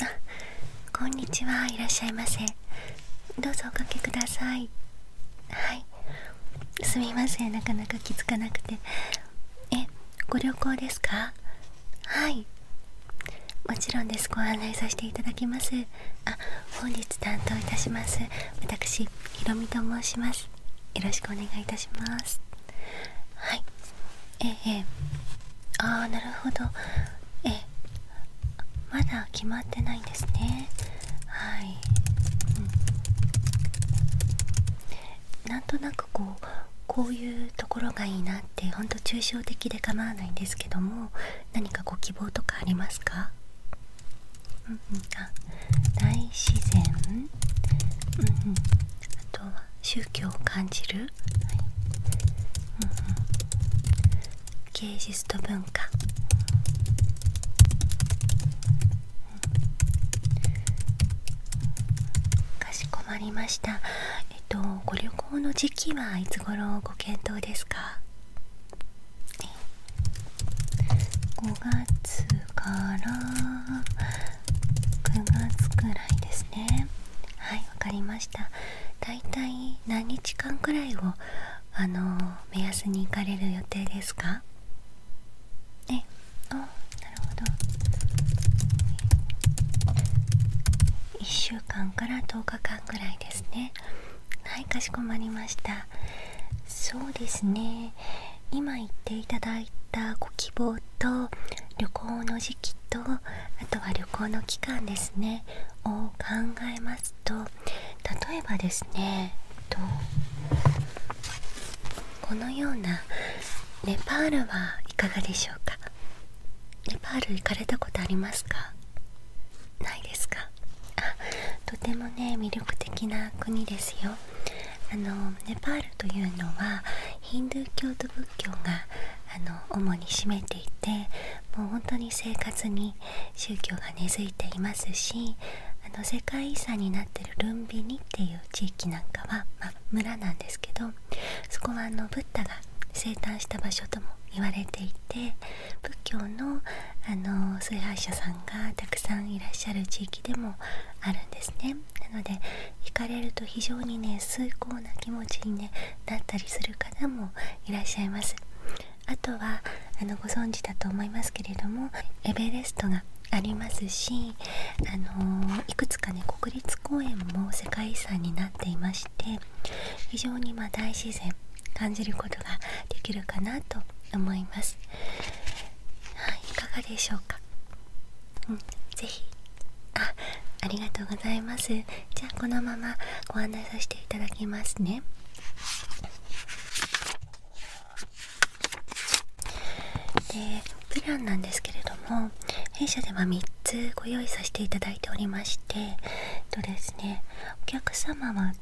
こんにちはいらっしゃいませどうぞおかけくださいはいすみませんなかなか気づかなくてえご旅行ですかはいもちろんですご案内させていただきますあ本日担当いたします私ひろみと申しますよろしくお願いいたしますはいええああなるほどえまだ決まってないんですねはい、うん、なんとなくこうこういうところがいいなってほんと抽象的で構わないんですけども何かご希望とかありますかうん大自然うんあと宗教を感じる芸術と文化、かしこまりましたえっとご旅行の時期はいつ頃ご検討ですか5月から9月くらいですねはいわかりましただいたい何日間くらいをあの目安に行かれる予定ですかえあなるほど1週間から10日間ぐらいですねはいかしこまりましたそうですね今言っていただいたご希望と旅行の時期とあとは旅行の期間ですねを考えまと例えばですねこのようなネパールはいかがでしょうかネパール行かれたことありますかないですかとてもね魅力的な国ですよあのネパールというのはヒンドゥー教と仏教があの主に占めていてもう本当に生活に宗教が根付いていますしあの世界遺産になってるルンビニっていう地域なんかは、ま村なんですけどそこはあのブッダが生誕した場所とも言われていて仏教のあの崇拝者さんがたくさんいらっしゃる地域でもあるんですねなので行かれると非常にね崇高な気持ちに、ね、なったりする方もいらっしゃいますあとはあのご存知だと思いますけれどもエベレストがありますし、あのいくつかね国立公園も世界遺産になっていまして非常にま大自然感じることができるかなと思います。はい、いかがでしょうか、うん、是非あありがとうございますじゃあこのままご案内させていただきますねでプランなんですけれども弊社では3つご用意させていただいておりましてとですねお客様は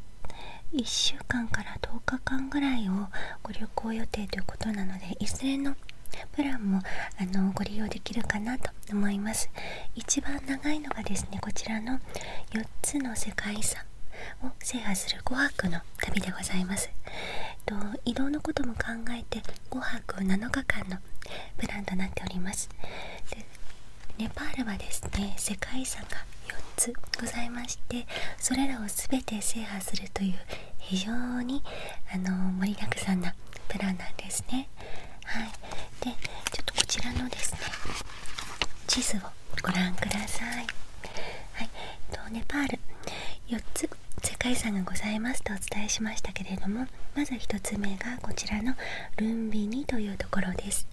1週間から10日間ぐらいをご旅行予定ということなので一斉のプランもあのご利用できるかなと思います一番長いのがですねこちらの4つの世界遺産を制覇する5泊の旅でございます、えっと、移動のことも考えて5泊7日間のプランとなっておりますでネパールはですね世界遺産が4つございましてそれらを全て制覇するという非常にあの盛りだくさんなプランなんですねはいでちょっとこちらのですね地図をご覧くださいはい、えネパール4つ世界遺産がございますとお伝えしましたけれどもまず1つ目がこちらのルンビニというところです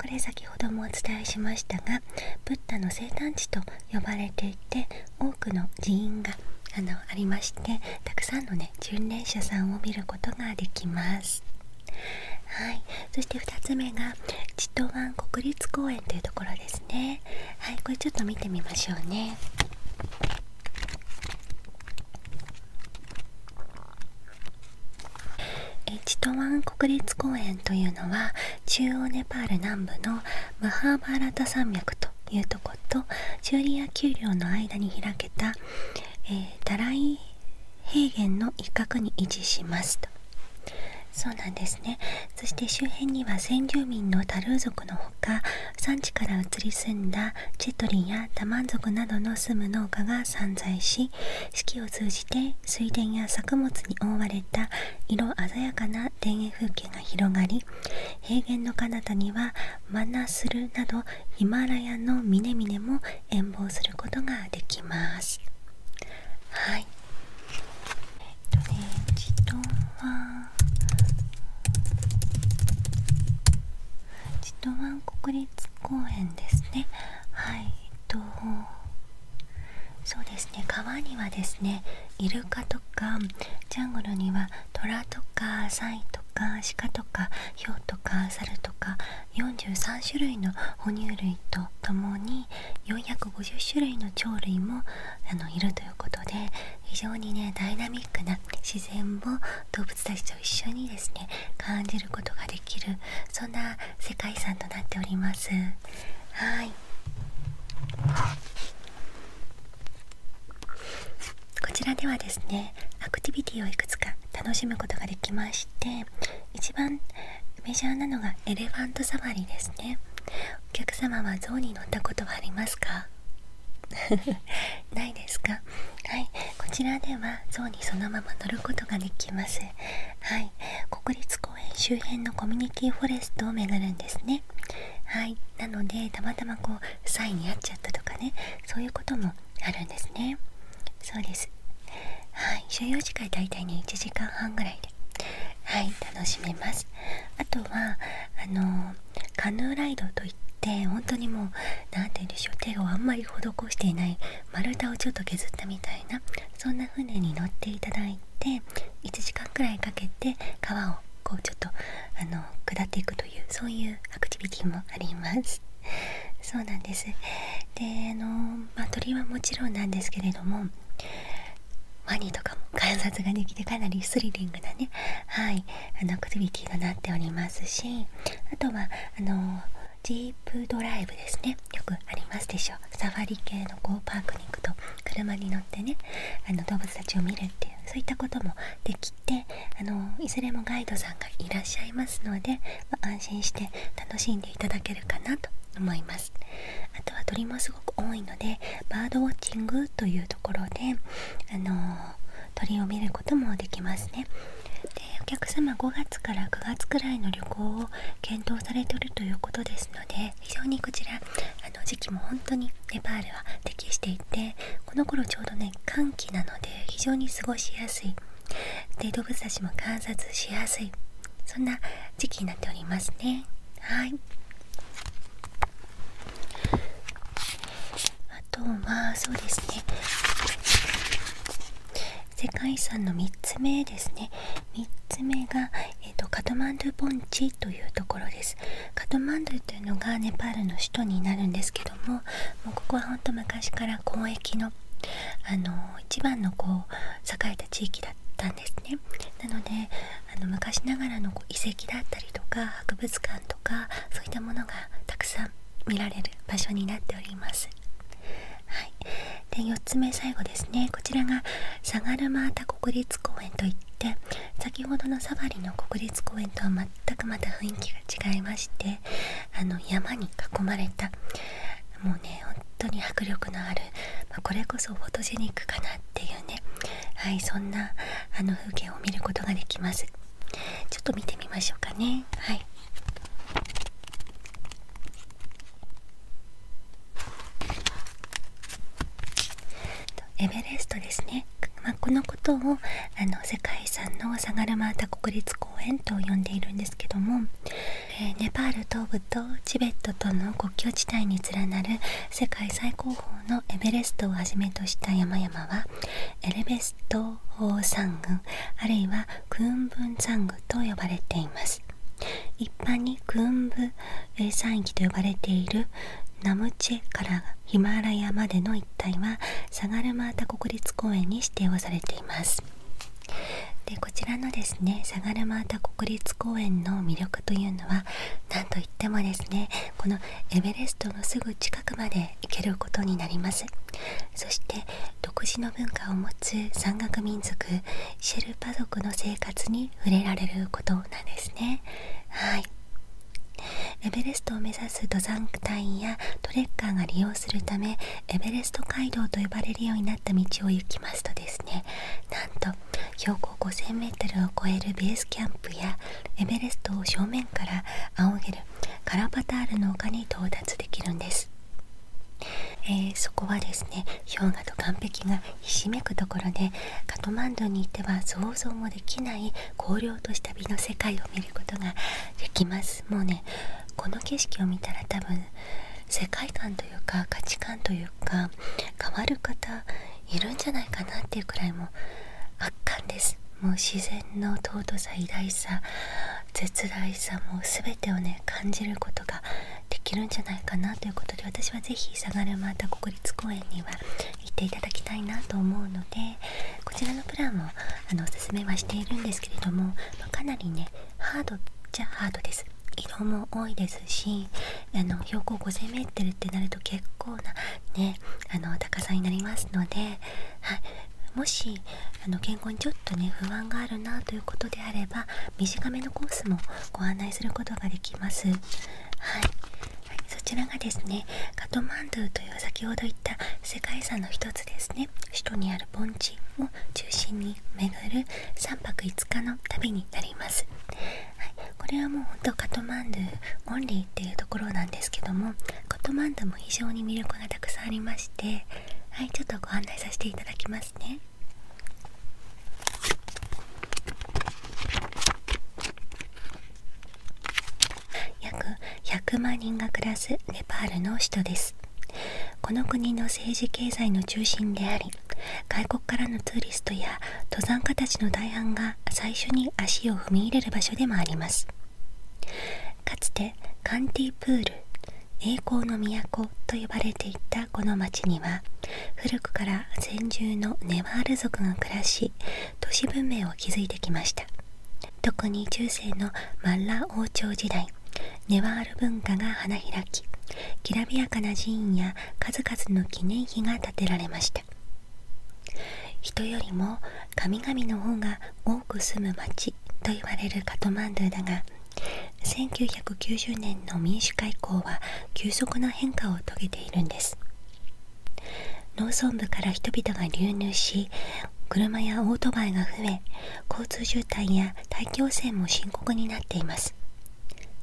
これ先ほどもお伝えしましたがブッダの生誕地と呼ばれていて多くの寺院があのありましてたくさんのね巡礼者さんを見ることができますはいそして2つ目が千と湾国立公園というところですねはいこれちょっと見てみましょうねチトワン国立公園というのは中央ネパール南部のムハーバーラタ山脈というとことチューリア丘陵の間に開けたえダライ平原の一角に位置しますとそうなんですねそして周辺には先住民のタルー族のほか産地から移り住んだチェトリンやタマン族などの住む農家が散在し四季を通じて水田や作物に覆われた色鮮やかな田園風景が広がり平原の彼方にはマナスルなどヒマラヤの峰々も遠望することができますはいえっとね自動は自動は国立公園ですねはいえっとそうですね川にはですねイルカとかジャングルにはトラとかサイとか鹿とかヒョウ猿とかサとか43種類の哺乳類とともに450種類の鳥類もあのいるということで非常にねダイナミックな自然を動物たちと一緒にですね感じることができるそんな世界遺産となっております。はいアクティビティをいくつか楽しむことができまして一番メジャーなのがエレファントサファリですねお客様はゾ象に乗ったことはありますか ないですかはいこちらではゾ象にそのまま乗ることができますはい国立公園周辺のコミュニティフォレストを巡るんですねはいなのでたまたまこうサイに合っちゃったとかねそういうこともあるんですねそうですはい所要時間大体ね1時間半ぐらいではい楽しめますあとはあのカヌーライドといって本当にもう何て言うんでしょう手をあんまり施していない丸太をちょっと削ったみたいなそんな船に乗っていただいて1時間くらいかけて川をこうちょっとあの下っていくというそういうアクティビティもありますそうなんですであの、まあ、鳥はもちろんなんですけれどもワニとかも観察ができてかなりスリリングなねはいあのアクティビティとなっておりますしあとはあのジープドライブですねよくありますでしょう。サファリ系のこうパークに行くと車に乗ってねあの動物たちを見るっていうそういったこともできであのいずれもガイドさんがいらっしゃいますので、安心して楽しんでいただけるかなと思いますあとは鳥もすごく多いのでバードウォッチングというところであの鳥を見ることもできますねでお客様5月から9月くらいの旅行を検討されてるということですので非常にこちらあの時期も本当にネパールは適していてこの頃ちょうどね寒気なので非常に過ごしやすいで動物たちも観察しやすいそんな時期になっておりますねはいあとはそうですね世界遺産の3つ目ですね3つ目が、カトマンドゥ盆地というところですカトマンドゥというのがネパールの首都になるんですけどもうここはほんと昔から交易のあの一番のこう栄えた地域だったんですねなのであの昔ながらの遺跡だったりとか博物館とかそういったものがたくさん見られる場所になっておりますで4つ目最後ですねこちらがサガルマータ国立公園といって先ほどのサファリの国立公園とは全くまた雰囲気が違いましてあの山に囲まれたもうね本当に迫力のある、これこそフォトジェニックかなっていうねはいそんなあの風景を見ることができますちょっと見てみましょうかねはいエベレストですね、まあ、このことをあの世界遺産のサガルマータ国立公園と呼んでいるんですけども、えネパール東部とチベットとの国境地帯に連なる世界最高峰のエベレストをはじめとした山々はエレベスト山群あるいはクーンブン山群と呼ばれています。一般にクーンブ山域と呼ばれているナムチェからヒマラヤまでの一帯は相良真田国立公園に指定をされていますでこちらのですね相良真田国立公園の魅力というのはなんといってもですねこのエベレストのすぐ近くまで行けることになりますそして独自の文化を持つ山岳民族シェルパ族の生活に触れられることなんですねはいエベレストを目指す登山隊員やトレッカーが利用するためエベレスト街道と呼ばれるようになった道を行きますとですねなんと標高 5000m を超えるベースキャンプやエベレストを正面から仰げるカラパタールの丘に到達できるんです、えそこはですね氷河と岩壁がひしめくところでカトマンドに行っては想像もできない荒涼とした美の世界を見ることができますもうねこの景色を見たら多分世界観というか価値観というか変わる方いるんじゃないかなっていうくらいも圧巻ですもう自然の尊さ偉大さ絶大さもう全てをね感じることができるんじゃないかなということで私は是非相良又国立公園には行っていただきたいなと思うのでこちらのプランもあのおすすめはしているんですけれども、まかなりねハードじゃハードです色も多いですしあの標高 5000m ってなると結構なねあの高さになりますので、はい、もしあの健康にちょっとね不安があるなということであれば短めのコースもご案内することができます。はいそちらがですねカトマンドゥという先ほど言った世界遺産の一つですね首都にある盆地を中心に巡る3泊5日の旅になります、はい、これはもうほんとカトマンドゥオンリーっていうところなんですけどもカトマンドゥも非常に魅力がたくさんありましてはいちょっとご案内させていただきますね約100万人が暮らすネパールの首都ですこの国の政治経済の中心であり外国からのツーリストや登山家たちの大半が最初に足を踏み入れる場所でもありますかつてカンティプール栄光の都と呼ばれていたこの町には古くから先住のネワール族が暮らし都市文明を築いてきました特に中世のマッラ王朝時代ネワール文化が花開ききらびやかな寺院や数々の記念碑が建てられました人よりも神々の方が多く住む町と言われるカトマンドゥだが1990年の民主化以降は急速な変化を遂げているんです農村部から人々が流入し車やオートバイが増え交通渋滞や大気汚染も深刻になっています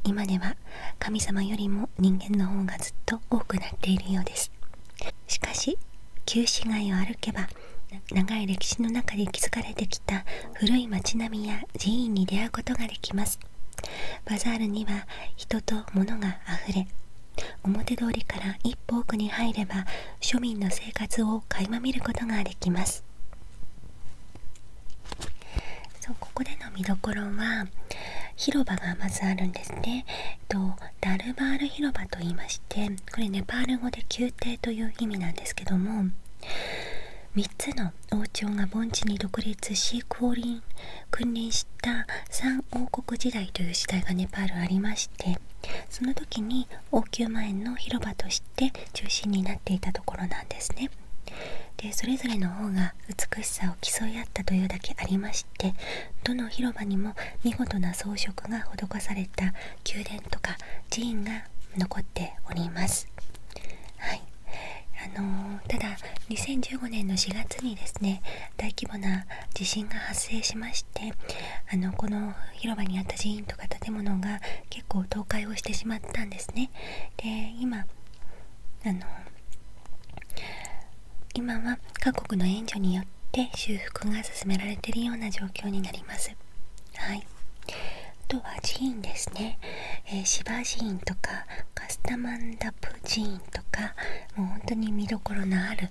今では神様よりも人間の方がずっと多くなっているようですしかし旧市街を歩けば長い歴史の中で築かれてきた古い町並みや寺院に出会うことができますバザールには人と物があふれ表通りから一歩奥に入れば庶民の生活を垣間見ることができますそうここでの見どころは広場がまずあるんですねとダルバール広場と言いましてこれネパール語で宮廷という意味なんですけども3つの王朝が盆地に独立し降臨君臨した三王国時代という時代がネパールありましてその時に王宮前の広場として中心になっていたところなんですねでそれぞれの王が美しさを競い合ったというだけありましてどの広場にも見事な装飾が施された宮殿とか寺院が残っておりますはいあのただ2015年の4月にですね大規模な地震が発生しましてあのこの広場にあった寺院とか建物が結構倒壊をしてしまったんですね。で今あの今は各国の援助によって修復が進められているような状況になります。はいあとは寺院ですね、えー、芝寺院とかカスタマンダプジーとかもう本当に見どころのある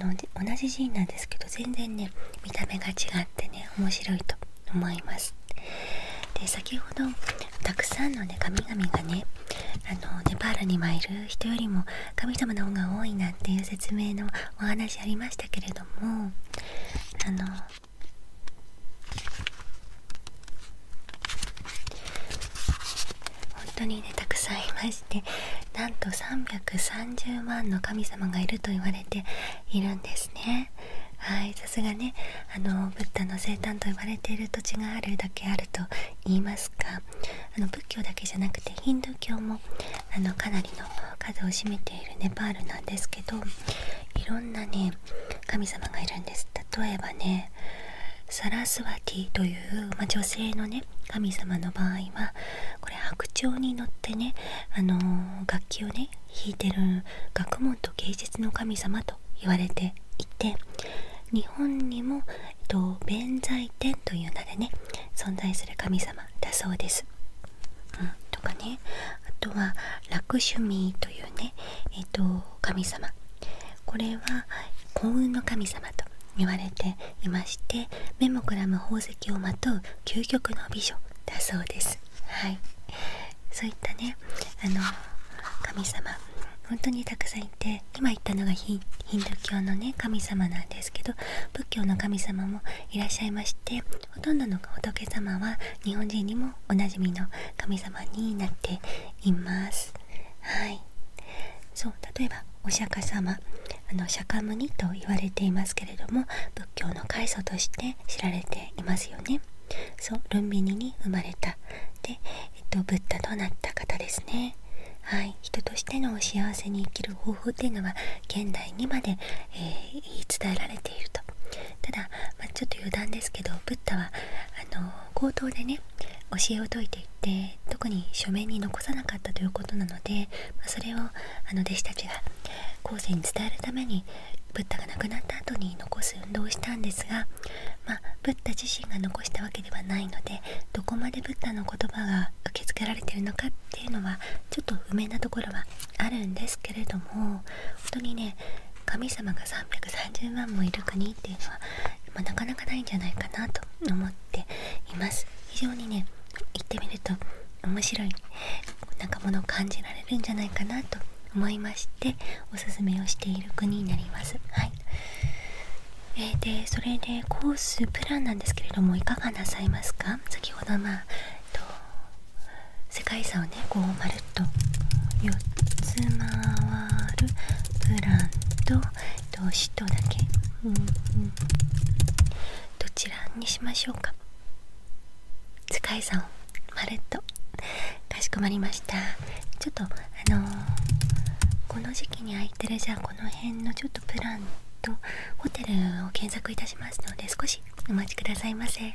あの同じジーなんですけど全然ね見た目が違ってね面白いと思いますで先ほどたくさんのね神々がねあのネパールに参る人よりも神様の方が多いなんていう説明のお話ありましたけれどもあの本当にねたくさんいましてなんと330万の神様がいると言われているんですねはいさすがねあのブッダの生誕と呼われている土地があるだけあると言いますかあの仏教だけじゃなくてヒンドゥー教もあのかなりの数を占めているネパールなんですけどいろんなね神様がいるんです例えばねサラスワティという、ま女性のね神様の場合はこれ白鳥に乗ってね、あの楽器をね弾いてる学問と芸術の神様と言われていて日本にも、えっと、弁財天という名でね存在する神様だそうです。うん、とかねあとはラクシュミーというね、えっと、神様これは幸運の神様と言われていまして目もくらむ宝石をまう究極の美女だそうですはいそういったねあの神様本当にたくさんいて今言ったのがヒンドゥー教のね神様なんですけど仏教の神様もいらっしゃいましてほとんどの仏様は日本人にもおなじみの神様になっています。はい、そう例えばお釈迦様あの釈迦牟尼と言われていますけれども仏教の開祖として知られていますよね。そうルンビニに生まれたで、えっと、ブッダとなった方ですね。はい、人としての幸せに生きる方法っていうのは現代にまで、え言い伝えられているとただ、まちょっと余談ですけどブッダはあのー、冒頭でね教えを説いていって特に書面に残さなかったということなので、まそれをあの弟子たちが後世に伝えるためにブッダが亡くなった後に残す運動をしたんですが、まブッダ自身が残したわけではないのでどこまでブッダの言葉が受け付けられてるのかっていうのはちょっと不明なところはあるんですけれども本当にね神様が330万もいる国っていうのは、まなかなかないんじゃないかなと思っています非常にね行ってみると面白いなんかものを感じられるんじゃないかなと思いましておすすめをしている国になりますはいえー、でそれでコースプランなんですけれどもいかがなさいますか先ほどまえっと、世界遺産をねと4つ回るプランと投資とだけ、どちらにしましょうか使いさんまるっとかしこまりましたちょっとあのこの時期に空いてるじゃあこの辺のちょっとプランとホテルを検索いたしますので少しお待ちくださいませ。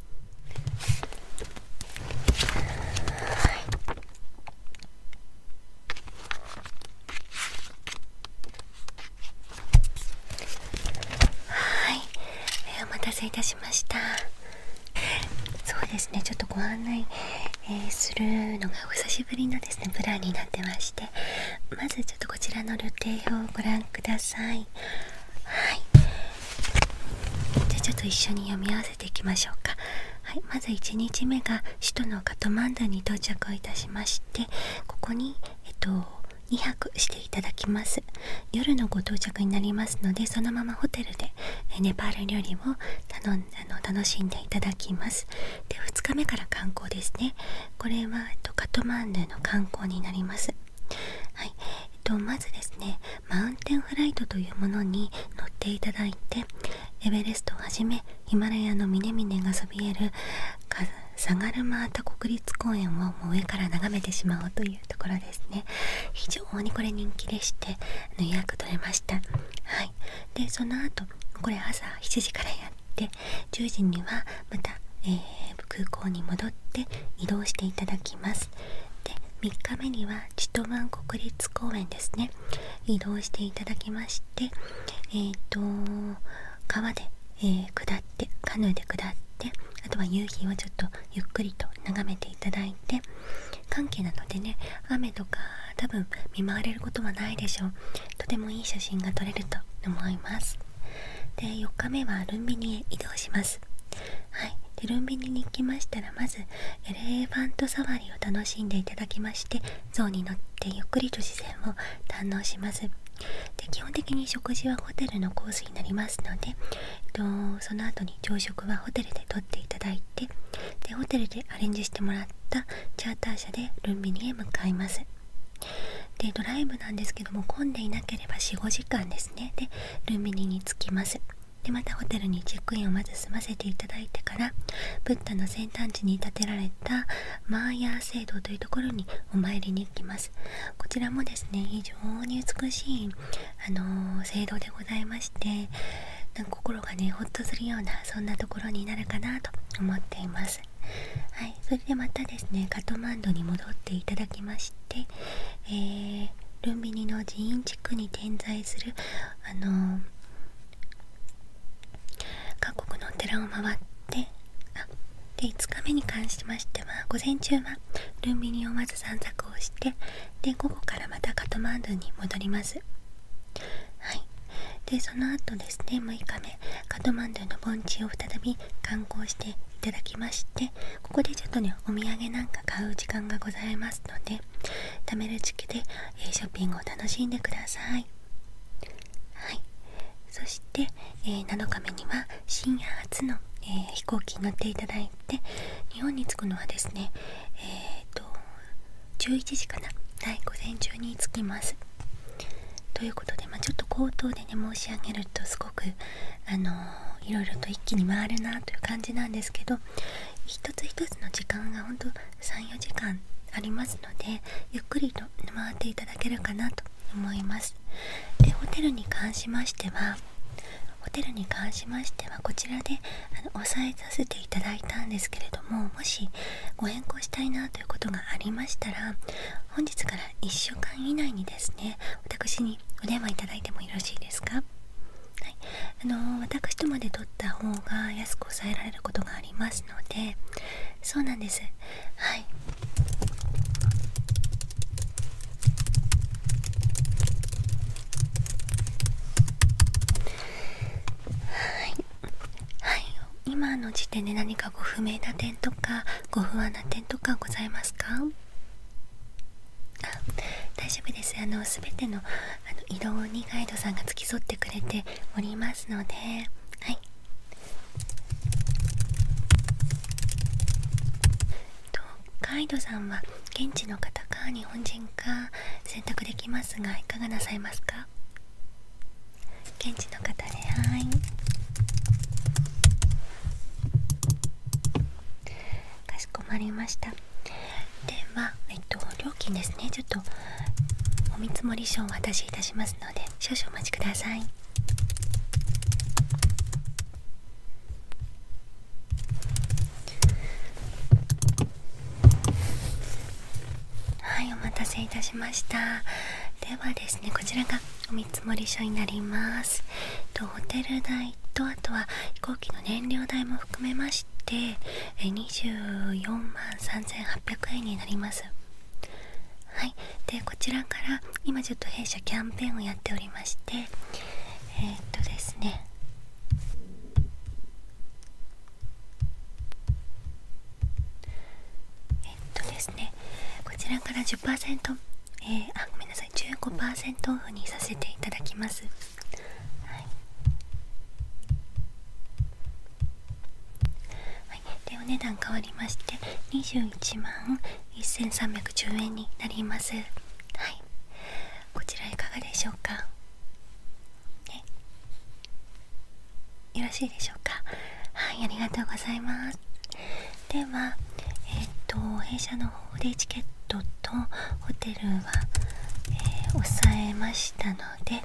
はい、お待たせいたしましたそうですねちょっとご案内、するのがお久しぶりのですねプランになってましてまずちょっとこちらの予定表をご覧くださいはいじゃあちょっと一緒に読み合わせていきましょうか、はい、まず1日目が首都のカトマンダに到着をいたしましてここに、えっと、2泊していただきます夜のご到着になりますのでそのままホテルでネパール料理を頼んあの楽しんでいただきますで2日目から観光ですねこれは、えっと、カトマンダの観光になりますはいえっと、まずですねマウンテンフライトというものに乗っていただいてエベレストをはじめヒマラヤの峰々がそびえるサガルマータ国立公園をもう上から眺めてしまおうというところですね非常にこれ人気でして予約取れましたはいでその後これ朝7時からやって10時にはまた、え空港に戻って移動していただきますで3日目にはチトワン国立公園ですね移動していただきましてえっ、と川で、え下ってカヌーで下ってあとは夕日をちょっとゆっくりと眺めていただいて寒気なのでね雨とか多分見舞われることはないでしょうとてもいい写真が撮れると思いますで4日目はルンビニへ移動しますはいテルンビニに行きましたらまずエレファントサファリを楽しんでいただきまして象に乗ってゆっくりと視線を堪能しますで基本的に食事はホテルのコースになりますので、えっと、その後に朝食はホテルでとっていただいてでホテルでアレンジしてもらったチャーター車でルンビニへ向かいますでドライブなんですけども混んでいなければ45時間ですねでルンビニに着きますでまたホテルにチェックインをまず済ませていただいてからブッダの先端地に建てられたマーヤー聖堂というところにお参りに行きますこちらもですね非常に美しい、あの聖堂でございましてなんか心がねほっとするようなそんなところになるかなと思っていますはいそれでまたですねカトマンドに戻っていただきましで、えルンビニの寺院地区に点在する、あの各国のお寺を回ってで5日目に関しましては午前中はルンビニをまず散策をしてで午後からまたカトマンドゥンに戻ります。はいでその後ですね6日目カトマンドゥの盆地を再び観光していただきましてここでちょっとねお土産なんか買う時間がございますので貯める時期で、えショッピングを楽しんでくださいはいそして、え7日目には深夜初の、え飛行機に乗っていただいて日本に着くのはですねえっ、と11時かなは午前中に着きますということで、まちょっと口頭でね申し上げるとすごくあのいろいろと一気に回るなという感じなんですけど一つ一つの時間がほんと34時間ありますのでゆっくりと回っていただけるかなと思いますでホテルに関しましてはホテルに関しましてはこちらで押さえさせていただいたんですけれどももしご変更したいなということがありましたら本日から1週間以内にですね私にお電話いただいてもよろしいですかはい、あの私とまで取った方が安く抑えられることがありますのでそうなんですはいはい、はい、今の時点で何かご不明な点とかご不安な点とかございますかあ大丈夫ですあの全てのあの色にガイドさんが付き添ってくれておりますのではいガイドさんは現地の方か日本人か選択できますがいかがなさいますか現地の方ではいかしこまりましたでは、料金ですねちょっとお見積もり書をお渡しいたしますので少々お待ちくださいはいお待たせいたしましたではですねこちらがお見積書になりますとホテル代とあとは飛行機の燃料代も含めまして24万3800円になりますはいでこちらから今ちょっと弊社キャンペーンをやっておりましてえっとですねえっとですねこちらから10%えー、あごめんなさい15%オフにさせていただきます、はいはい、でお値段変わりまして21万1310円になりますはいこちらいかがでしょうかねよろしいでしょうかはいありがとうございますでは、えっ、と弊社の方でチケットとホテルは、えー、抑えましたので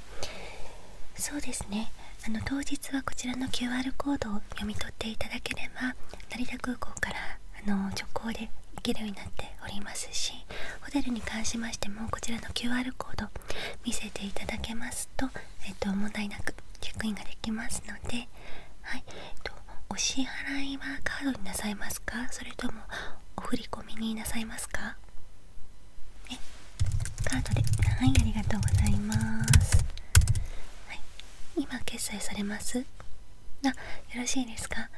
そうですねあの当日はこちらの QR コードを読み取っていただければ成田空港からあの直行で行けるようになっておりますしホテルに関しましてもこちらの QR コード見せていただけますと,、えっと問題なくチェックインができますので、はいお支払いはカードになさいますかそれともお振り込みになさいますかえカードではいありがとうございますはい今決済されますあよろしいですか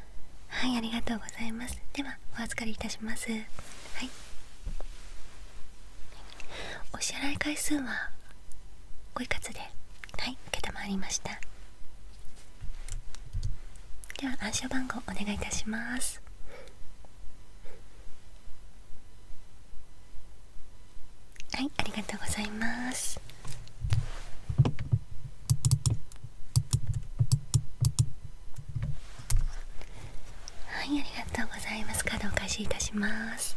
はいありがとうございますではお預かりいたしますはいお支払い回数はごいかつではい承りましたでは暗証番号お願いいたしますはいありがとうございますはいありがとうございますカードお返しいたします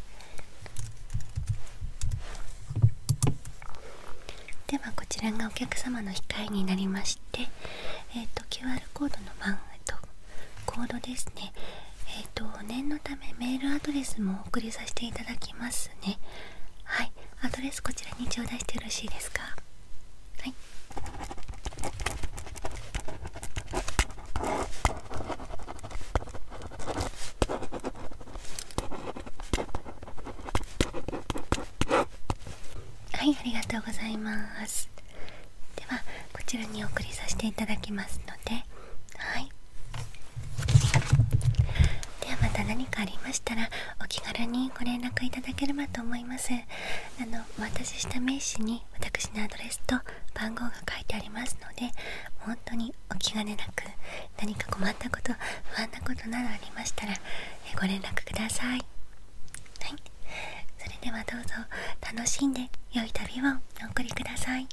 ではこちらがお客様の控えになりまして、えー、と QR コードの番、号とコードですねえっ、と念のためメールアドレスもお送りさせていただきますねはいアドレスこちらに頂戴してよろしいですかはいはいありがとうございますではこちらにお送りさせていただきますのではいではまた何かありましたらお気軽にご連絡いただければと思いますあのお渡しした名刺に私のアドレスと番号が書いてありますので本当にお気兼ねなく何か困ったこと不安なことなどありましたらご連絡ください、はい、それではどうぞ楽しんで良い旅をお送りください